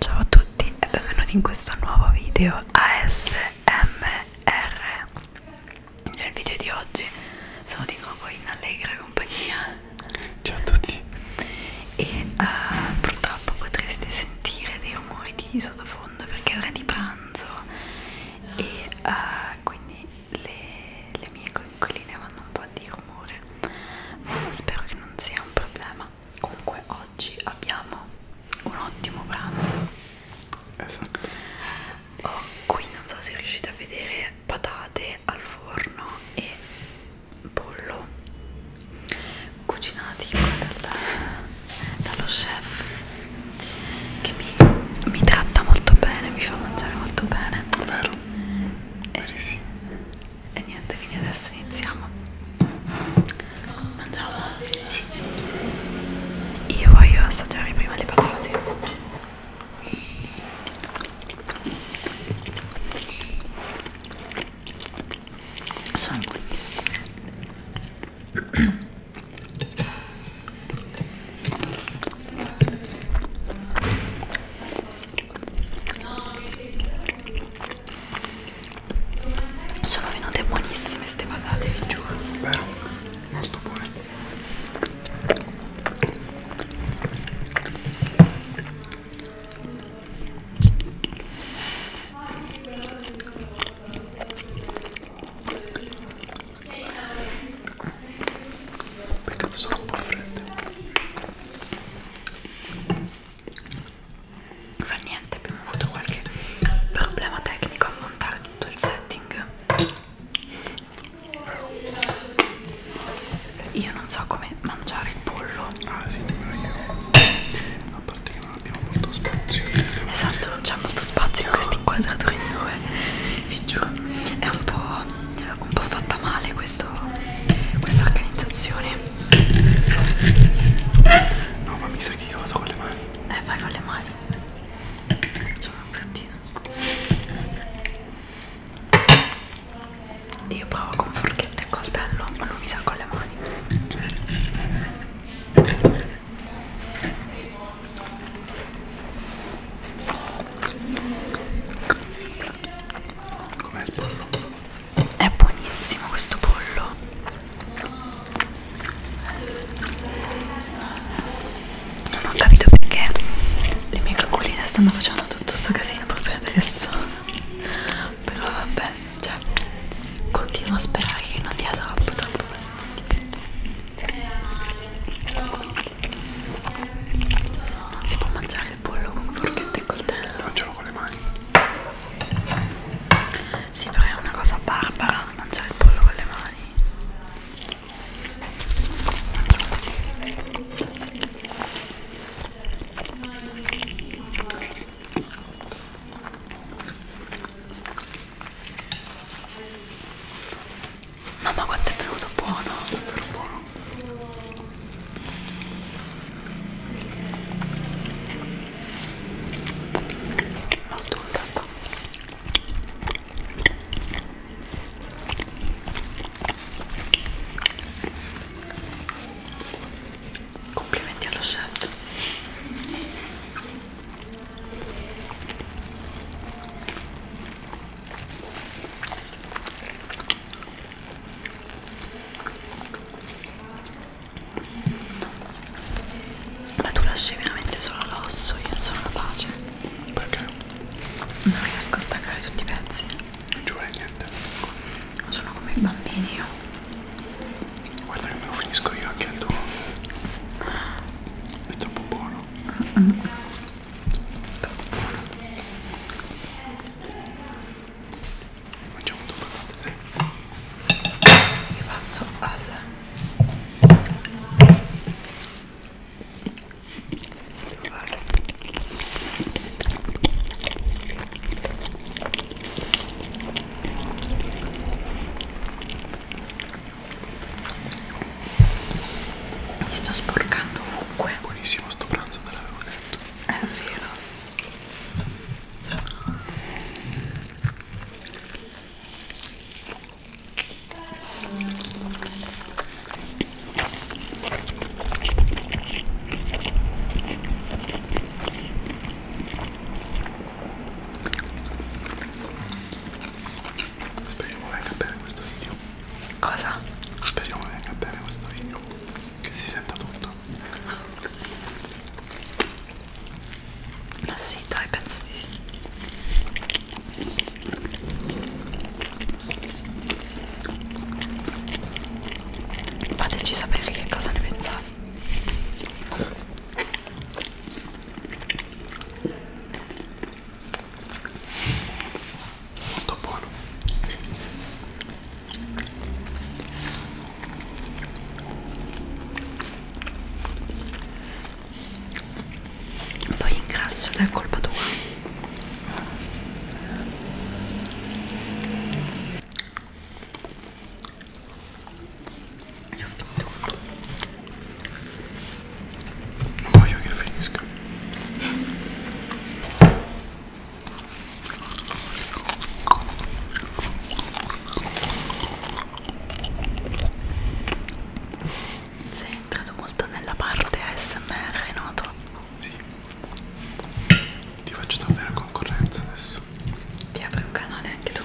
Ciao a tutti e benvenuti in questo nuovo video ASMR Nel video di oggi sono di nuovo in allegra compagnia Ciao a tutti E uh, purtroppo potreste sentire dei rumori di sottofondo perché è ora di pranzo E uh, quindi le, le mie coinquiline vanno un po' po' di rumore ma spero che non sia un problema comunque oggi abbiamo un ottimo pranzo esatto oh, qui non so se riuscite a vedere patate al forno e pollo cucinati da, dallo chef che mi, mi tratta molto bene mi fa mangiare molto bene vero? Eh, sì e niente quindi adesso iniziamo mangiamo sì. io voglio assaggiare prima le patate sono buonissime sono venute buonissime ste patate, vi giuro. Vero, molto buone. Peccato sono un po' fredde non fa niente abbiamo avuto qualche problema tecnico a montare tutto il setting io non so come mangiare il pollo ah sì io a parte che non abbiamo molto spazio esatto non c'è molto spazio in questi inquadratori in due vi giuro è un po' un po' fatta male questo, questa organizzazione no ma mi sa che io vado con le mani eh vai con le mani facciamo un bruttino io provo con forchetta e coltello ma lui mi sa con le mani Com'è il pollo? È buonissimo questo pollo. Non ho capito perché le mie coccoline stanno facendo tutto sto casino proprio adesso. Però vabbè, cioè, continuo a sperare che non dia troppo troppo fastidio. Non si può mangiare mangiare il pollo con forchette e coltello. Mangialo con le mani. Sì, però è una cosa barbara mangiare il pollo con le mani. Mangio così. Mamma quanto è venuto buono! È buono. Molto contenta Complimenti allo chef ma tu lasci veramente solo l'osso, io non sono capace. Perché? Non riesco a staccare tutti i pezzi. Non giuro niente. Sono come i bambini io. Guarda che me lo finisco io anche il tuo. È troppo buono. Mm -mm. Mangiamo tutto dai. Io passo al trovare mi sto sporcando ovunque buonissimo sto pranzo te l'avevo detto è vero speriamo venga bene questo video Cosa? Speriamo che venga bene questo video, che si senta tutto. Ma sì, dai, penso di sì. Fateci sapere che cosa ne pensate molto buono poi ingrasso ed è colpa tua e ho finito tutto non voglio che finisca sei entrato molto nella parte ASMR, noto? Sì. Ti faccio davvero concorrenza adesso. Ti apri un canale anche tu.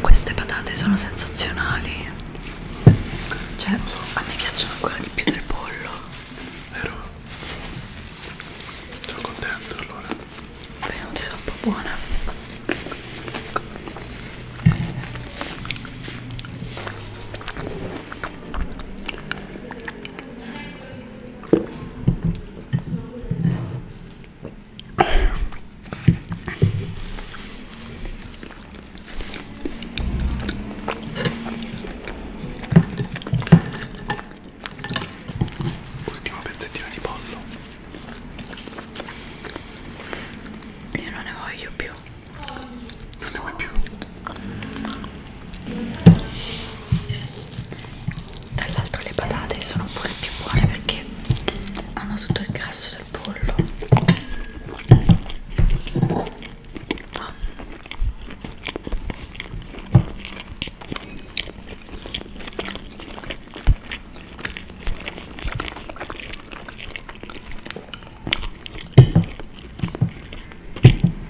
Queste patate sono sensazionali. Cioè, so. a me piacciono ancora di più del pollo. Vero? Sì. Sono contento allora. Venuti troppo buona. Ultimo pezzettino di pollo. Io non ne voglio più. Non ne vuoi più? Tra l'altro le patate sono pure più buone perché hanno tutto il grasso del pollo. Ah.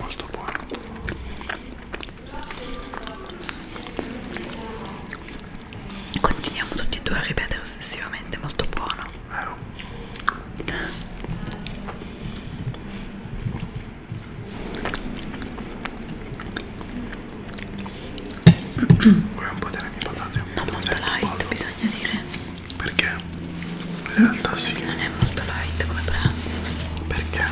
molto buono continuiamo tutti e due a ripetere ossessivamente molto buono eh. Vuoi un po' delle mie patate? Non molto eh, light, bisogna dire. Perché? In realtà Scusa, sì. Non è molto light come pranzo. Perché?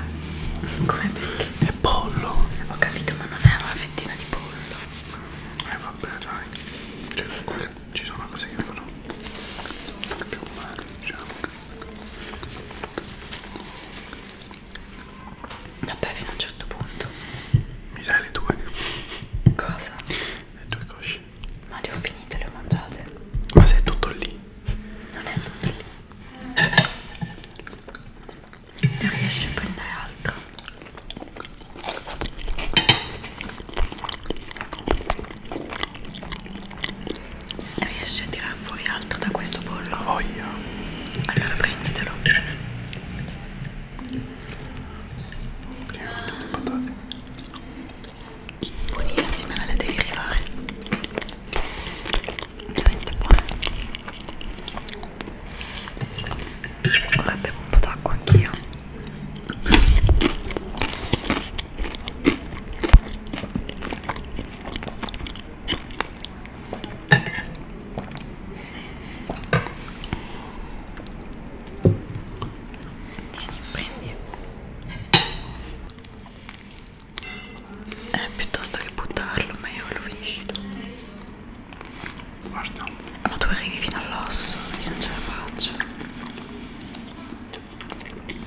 Come perché? È pollo. Ho capito, ma non è una fettina di pollo. Eh vabbè, dai. Cioè, ci sono cose che fanno più male, diciamo. Vabbè, fino a un certo punto. Mi dai le tue? Cosa? Le tue cosce. Ma le ho finite, le ho mangiate. Ma sei tutto lì? Non è tutto lì. Non riesci a prendere altro. Riesci a tirare fuori altro da questo pollo? Oh yeah. Allora prenditelo. Prima le patate. Buonissime, me le devi rifare. Veramente buone. Ora bevo un po' d'acqua anch'io. Tieni, prendi eh, piuttosto che buttarlo, meglio che lo finisci tu. Guarda, ma tu arrivi fino all'osso, io non ce la faccio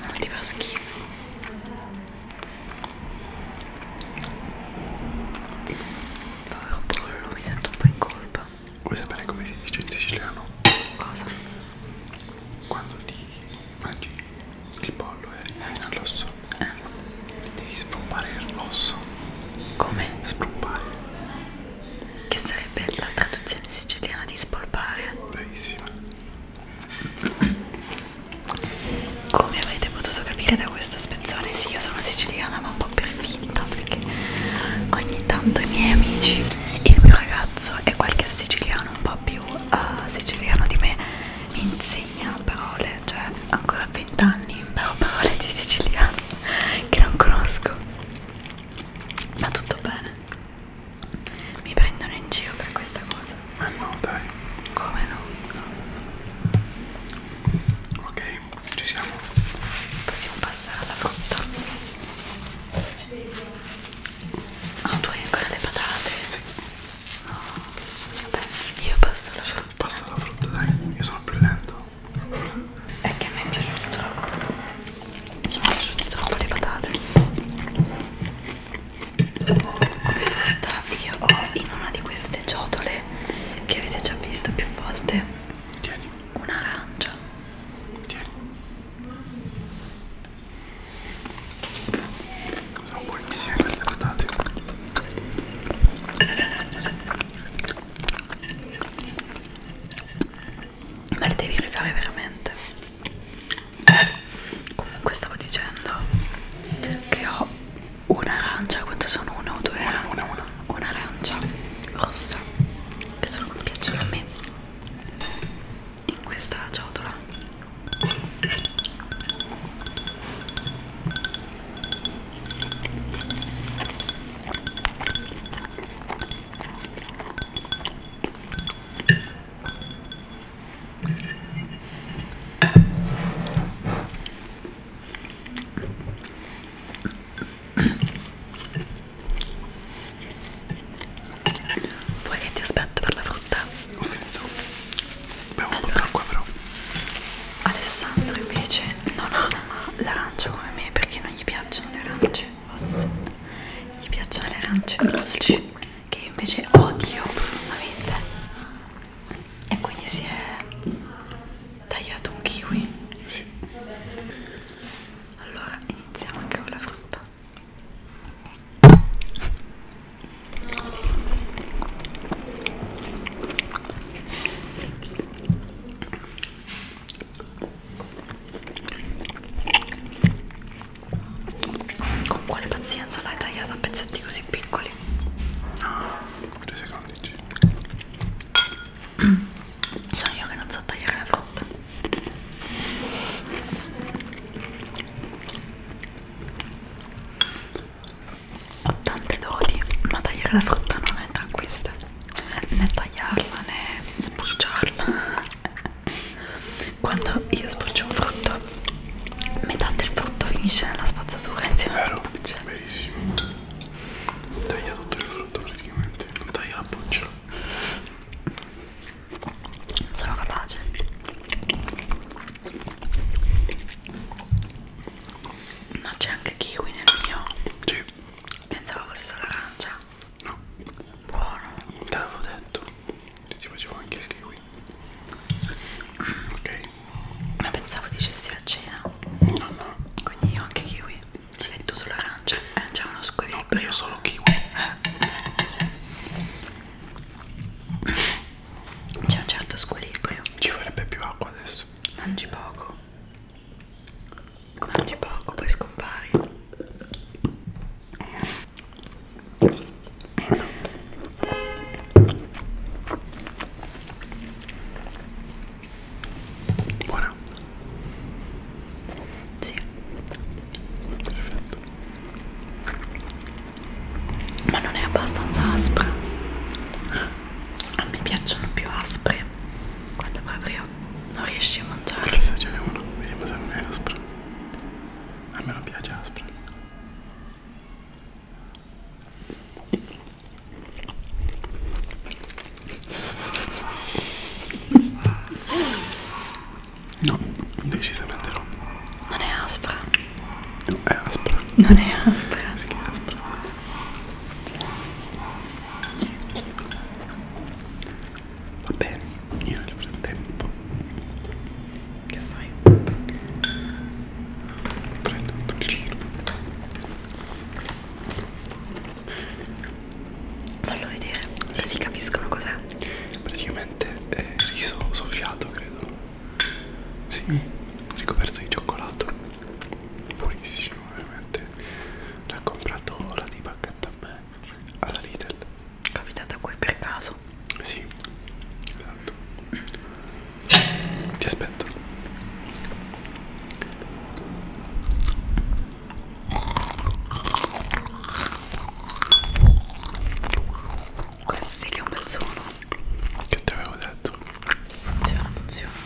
non ti fa schifo povero pollo mi sento un po' in colpa vuoi sapere come si dice in siciliano? cosa? quando ti mangi il pollo e rimane all'osso eh. devi sprumpare l'osso come? sprumpare che sarebbe la traduzione siciliana di spolpare bravissima come avete potuto capire da questo spezzone, sì, io sono siciliana ma un po' per finta perché ogni tanto i miei amici, il mio ragazzo e qualche siciliano un po' più uh, siciliano di me mi insegna parole, cioè ancora a 20 anni però parole di siciliano che non conosco. Ma tutto bene. Mi prendono in giro per questa cosa. Ma no, dai. Come no? no. Ok, ci siamo. Possiamo passare alla frutta. Ah, oh, tu hai ancora le patate? Sì. No. Vabbè, io passo la frutta. Passa la frutta, dai. Io sono più lento. È che a me è piaciuto troppo. Sono piaciute troppo le patate fatta io ho in una di queste ciotole che avete già visto più volte Tieni. un'arancia Tieni. sono oh, buonissime queste patate me le devi rifare veramente comunque stavo dicendo che ho un'arancia quanto sono una o due arancia una, una, una. un'arancia rossa che sono come piacciono a me in questa ciotola Vuoi che ti aspetto per la frutta? Ho finito. Bevo allora, un po' d'acqua però. Alessandro invece non ama l'arancia come me perché non gli piacciono le arance rosse. Gli piacciono le arance dolci che invece odio profondamente e quindi si è tagliato un kiwi sì. allora iniziamo anche con la frutta con quale pazienza l'hai tagliata a pezzetti così piccoli? No, tre secondi. Sono io che non so tagliare la frutta. Ho tante doti, ma tagliare la frutta non è da queste. Né tagliarla né spulciarla. Quando io sporcio un frutto, metà del frutto finisce nella spazzatura insieme alla buccia. Verissimo. Taglia tutto il frutto praticamente, non taglia la buccia. Non sono capace. Ma c'è anche kiwi nel mio. Sì. Pensavo fosse solo arancia. No. Buono. Te l'avevo detto. Ti facevo anche il kiwi ok ma pensavo dicessi la cena no no quindi io anche kiwi sì. e tu solo arancia cioè, eh, c'è uno squilibrio no, io solo kiwi eh. c'è un certo squilibrio ci vorrebbe più acqua adesso mangi poco mangi poco poi scompari Buona. Sì. Perfetto. Ma non è abbastanza aspra. A me piacciono più aspre quando proprio non riesci a mangiare. Chissà, ce n'è uno. Vediamo se non è aspra. A me non piace aspra. No, decisamente no. Non è aspra. No, è aspra. Non è aspra. Sì, è aspra. Va bene. Io nel frattempo Che fai? Prendo un dolcino Fallo vedere, sì. così capiscono cos'è Praticamente è riso soffiato, credo Sì, mm. ricoperto di cioccolato Buonissimo, veramente L'ha comprato la di bacchetta a me alla Lidl capitata qui per caso sì esatto ti aspetto questi che è un bel suono che ti avevo detto funziona funziona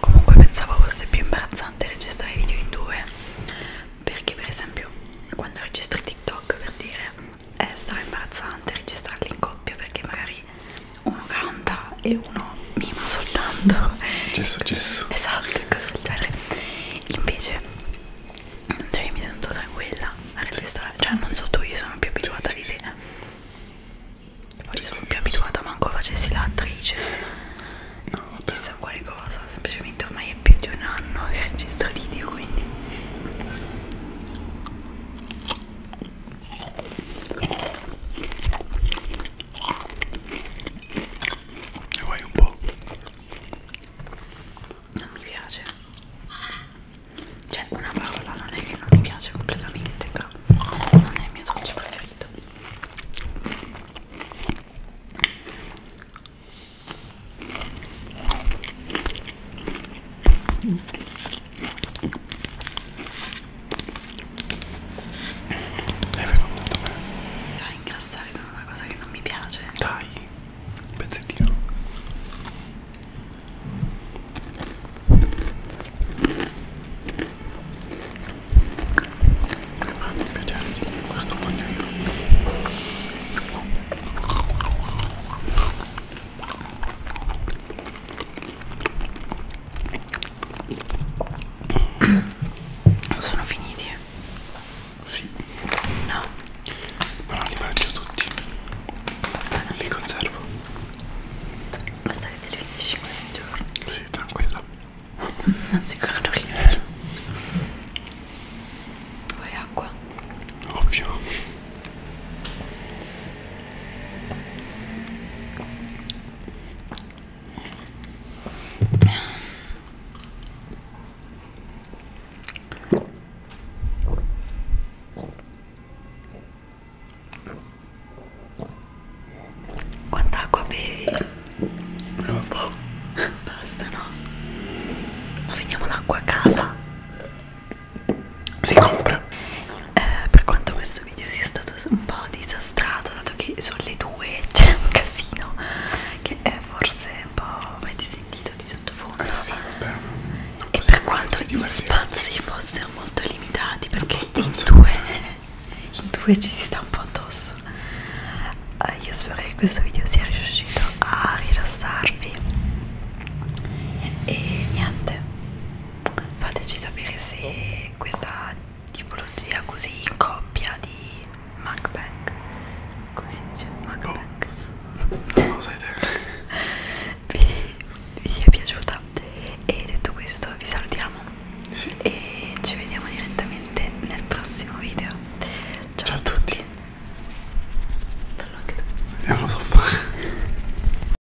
Comunque pensavo fosse più imbarazzante registrare video in due perché per esempio quando registri TikTok per dire è stra imbarazzante registrarli in coppia perché magari uno canta e uno mima soltanto gesso gesso esatto cose del genere invece cioè mi sento tranquilla al sì. ristorante cioè non so tu io sono più abituata sì, di te poi sì, sono sì, più sì. abituata manco facessi l'attrice no, chissà quale cosa semplicemente ormai è più di un anno che registro video quindi e vai un po'. Non mi piace. Cioè, una parola non è che non mi piace completamente, però non è il mio dolce preferito. Mm. È venuto bene. Mi fa ingrassare con una cosa che non mi piace. Dai, un pezzettino. Ah, mi piace anche questo voglio io. Sono finiti? Sì. No. Ma non li mangio tutti. Li conservo. Basta che te li finisci questi giorni. Sì, tranquilla. Non si corrono rischi. Eh. Vuoi acqua? Ovvio. Quanta acqua bevi? Troppo. Basta, no? Ma finiamo l'acqua a casa si compra eh, per quanto questo video sia stato un po' disastrato dato che sulle due c'è un casino che è forse un po' avete sentito di sottofondo eh sì, vabbè, e per quanto gli spazi fossero molto limitati perché in due, in due ci si sta un po' addosso eh, io spero che questo video sia riuscito a rilassarvi e niente fateci sapere se questa tipologia così in coppia di mukbang così dice mukbang oh, vi, vi è piaciuta e detto questo vi salutiamo sì. e ci vediamo direttamente nel prossimo video ciao, ciao a tutti bello anche tu eh,